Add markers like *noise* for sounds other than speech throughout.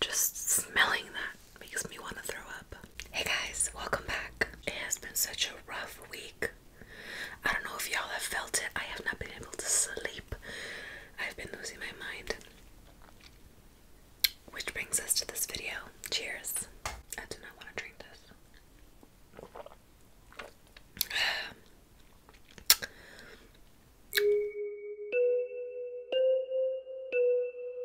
Just smelling that makes me want to throw up. Hey guys, welcome back. It has been such a rough week. I don't know if y'all have felt it. I have not been able to sleep. I've been losing my mind. Which brings us to this video. Cheers. I do not want to drink this. *sighs* Um,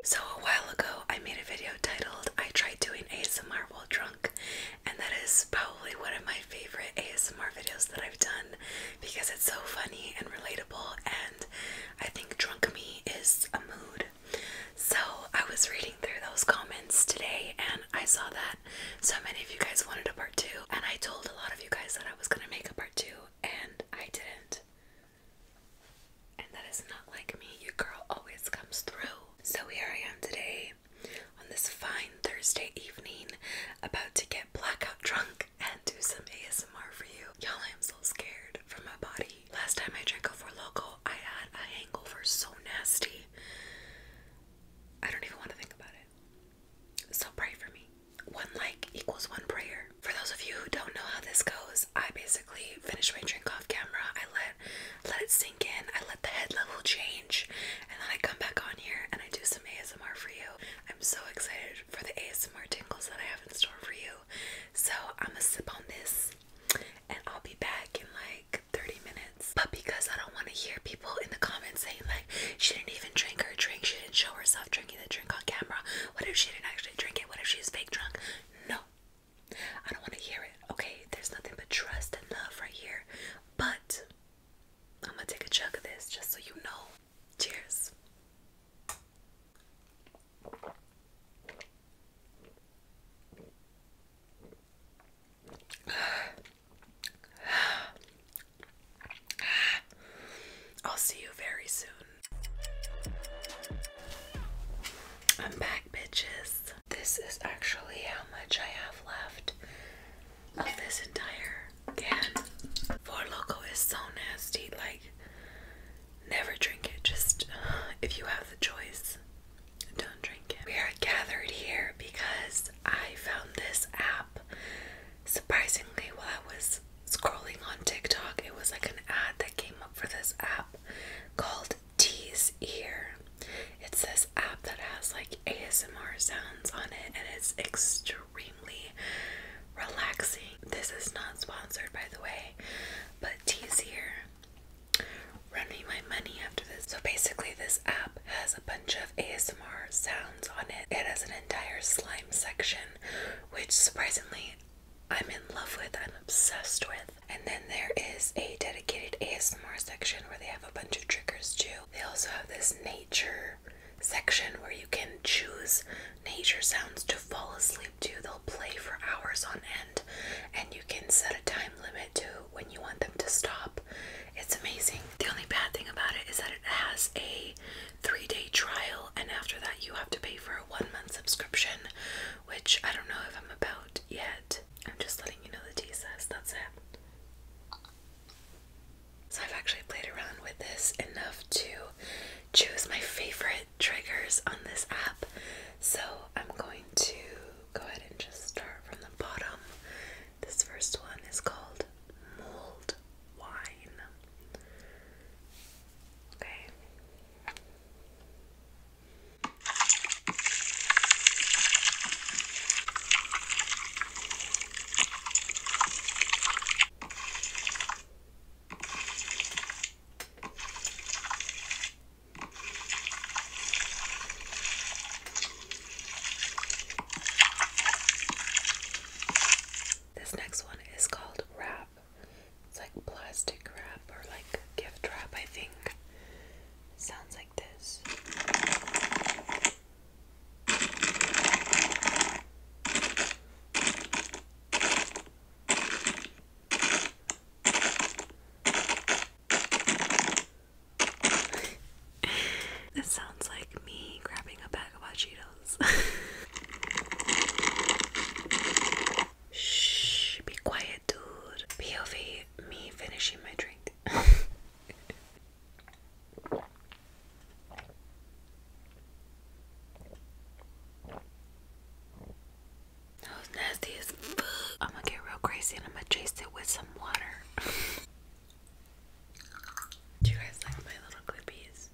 so, a while ago, I made a video titled I Tried Doing ASMR While Drunk, and that is probably one of my favorite ASMR videos that I've done because it's so funny and relatable, and I think drunk me is a mood. So, I was reading through those comments today and I saw that so many of you guys wanted a part two, and I told a lot of you guys that I was gonna make a part two, and I didn't. And that is not like me, You girl always comes through. So here I am today on this fine Thursday evening, about to get blackout drunk and do some ASMR for you. Y'all, I am so scared for my body. Last time I drank a Four I had a hangover so nasty. I don't even want to think about it. So pray for me. One like equals one prayer. For those of you who don't know how this goes, I basically finish my drink off camera. I let let it sink in. I let the head level change, and then I come back on here and I do some ASMR for you. I'm so excited for the ASMR tingles that I have in store for you. So I'm gonna sip on this, and I'll be back in like 30 minutes. But because I don't want to hear people people in the comments saying like she didn't even drink her drink, she didn't show herself drinking the drink on camera. What if she didn't actually drink it? What if she's fake drunk? No. I don't want to hear it. Okay, there's nothing but trust and love right here. But I'm gonna take a chunk of this just so you know. Cheers. *sighs* I'll see you very soon. I'm back, bitches. This is actually how much I have left of this entire can. Four Loco is so nasty. Like, never drink it. Just if you have the choice, don't drink it. We are gathered here because I found this app surprisingly while I was scrolling on TikTok. It was like an ad that came up for this app called Tease Ear. It's this app that has like ASMR sounds on it and it's extremely relaxing. This is not sponsored by the way, but Tease Ear. Run me my money after this. So basically, this app has a bunch of ASMR ASMR sounds on it. It has an entire slime section, which surprisingly I'm in love with, I'm obsessed with. And then there is a dedicated ASMR section where they have a bunch of triggers too. They also have this nature section where you can choose nature sounds to fall asleep to. They'll play for hours on end and you can set a time limit to when you want them to stop it's amazing. The only bad thing about it is that it has a three day trial, and after that, you have to pay for a one month subscription, which I don't know if I'm about yet. I'm just letting you know the details. that's it. So, I've actually played around with this enough to choose my favorite triggers on this app. So, I'm going to go ahead and just start from the bottom this first one is called Mold Wine. Okay. This next one is called wrap. It's like plastic wrap or like gift wrap, I think. sounds like this this sounds like me grabbing a bag of hot Cheetos. Shh, be quiet, dude. POV, me finishing my drink. That was nasty I'm gonna get real crazy and I'm gonna chase it with some water. Do you guys like my little clippies?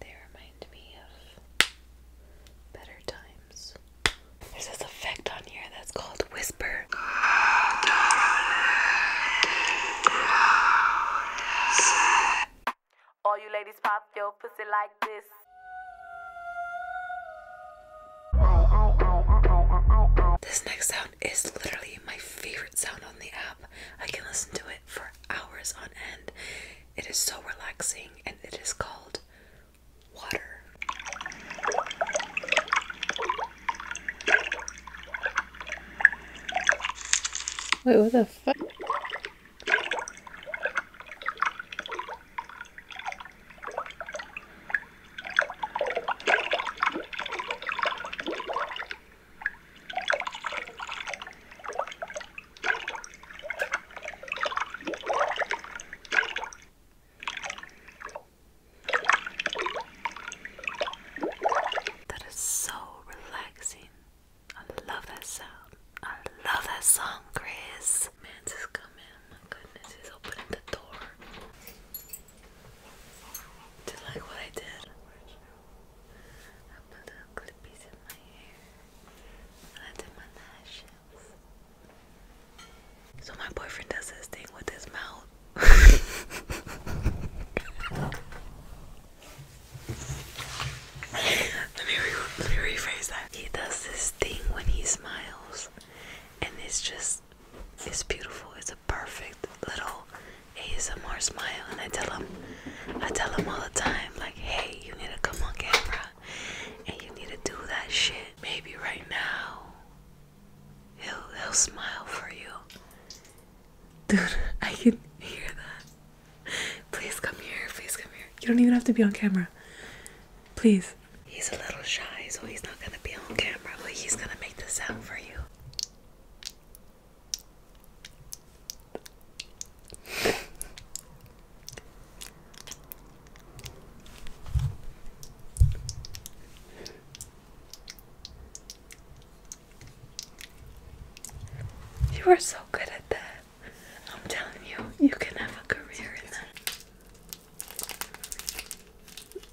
They remind me of better times. There's this effect on here that's called whisper. All you ladies pop your pussy like this. This next sound sound is literally my favorite sound on the app. I can listen to it for hours on end. It is so relaxing and it is called water. Wait, what the fuck? That is so relaxing. I love that sound. I love that song, Chris. Man's is coming. My goodness, he's opening the door. Do like what I did? I put little clippies in my hair and I did my lashes. So my boyfriend does this thing with his mouth. *laughs* let me rephrase that. He does this thing when he smiles, and it's just face beautiful. It's a perfect little ASMR smile, and I tell him, I tell him all the time, like, hey, you need to come on camera, and you need to do that shit. Maybe right now, he'll he'll smile for you, dude. I can hear that. Please come here. Please come here. You don't even have to be on camera. Please. He's a little shy, so he's not gonna be on camera, but he's gonna make the sound for you. You are so good at that. I'm telling you, you can have a career in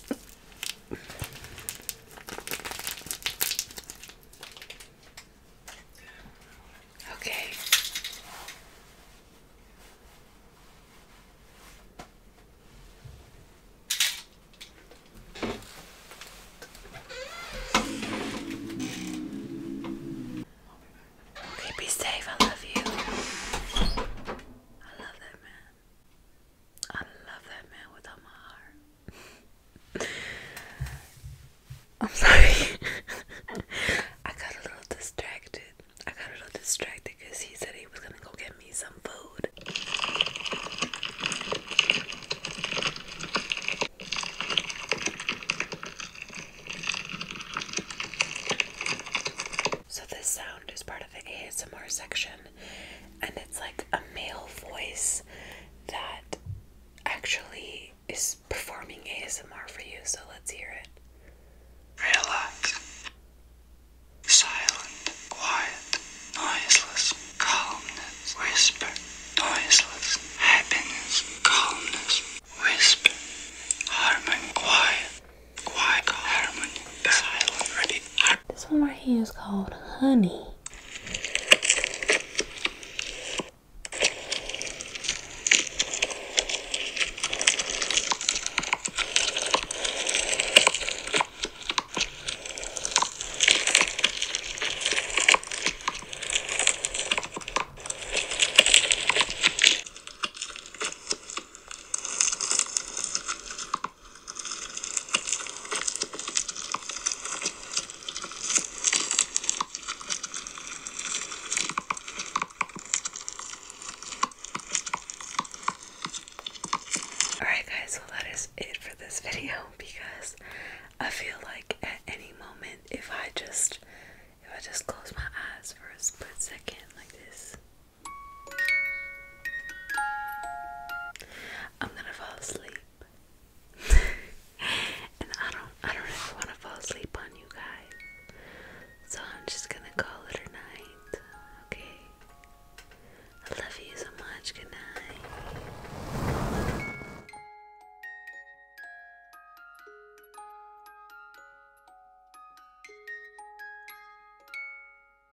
that. Okay. Okay, be safe. I love you. I love that man. I love that man with all my heart. *laughs* I'm sorry. *laughs* I got a little distracted. I got a little distracted because he said he was gonna go get me some food. So, this sound is part of the ASMR section and it's like a male voice that actually is performing ASMR for you. So let's hear it. Relax. Silent, quiet, noiseless, calmness, whisper, noiseless, happiness, calmness, whisper, harmony, quiet, quiet, harmony, silent, ready, this one right here is called honey. Alright guys, well that is it for this video because I feel like at any moment if I just if I just close my eyes for a split second like this I'm gonna fall asleep. *laughs* and I don't I don't ever wanna fall asleep on you guys. So I'm just gonna call it a night. Okay. I love you so much. Good night.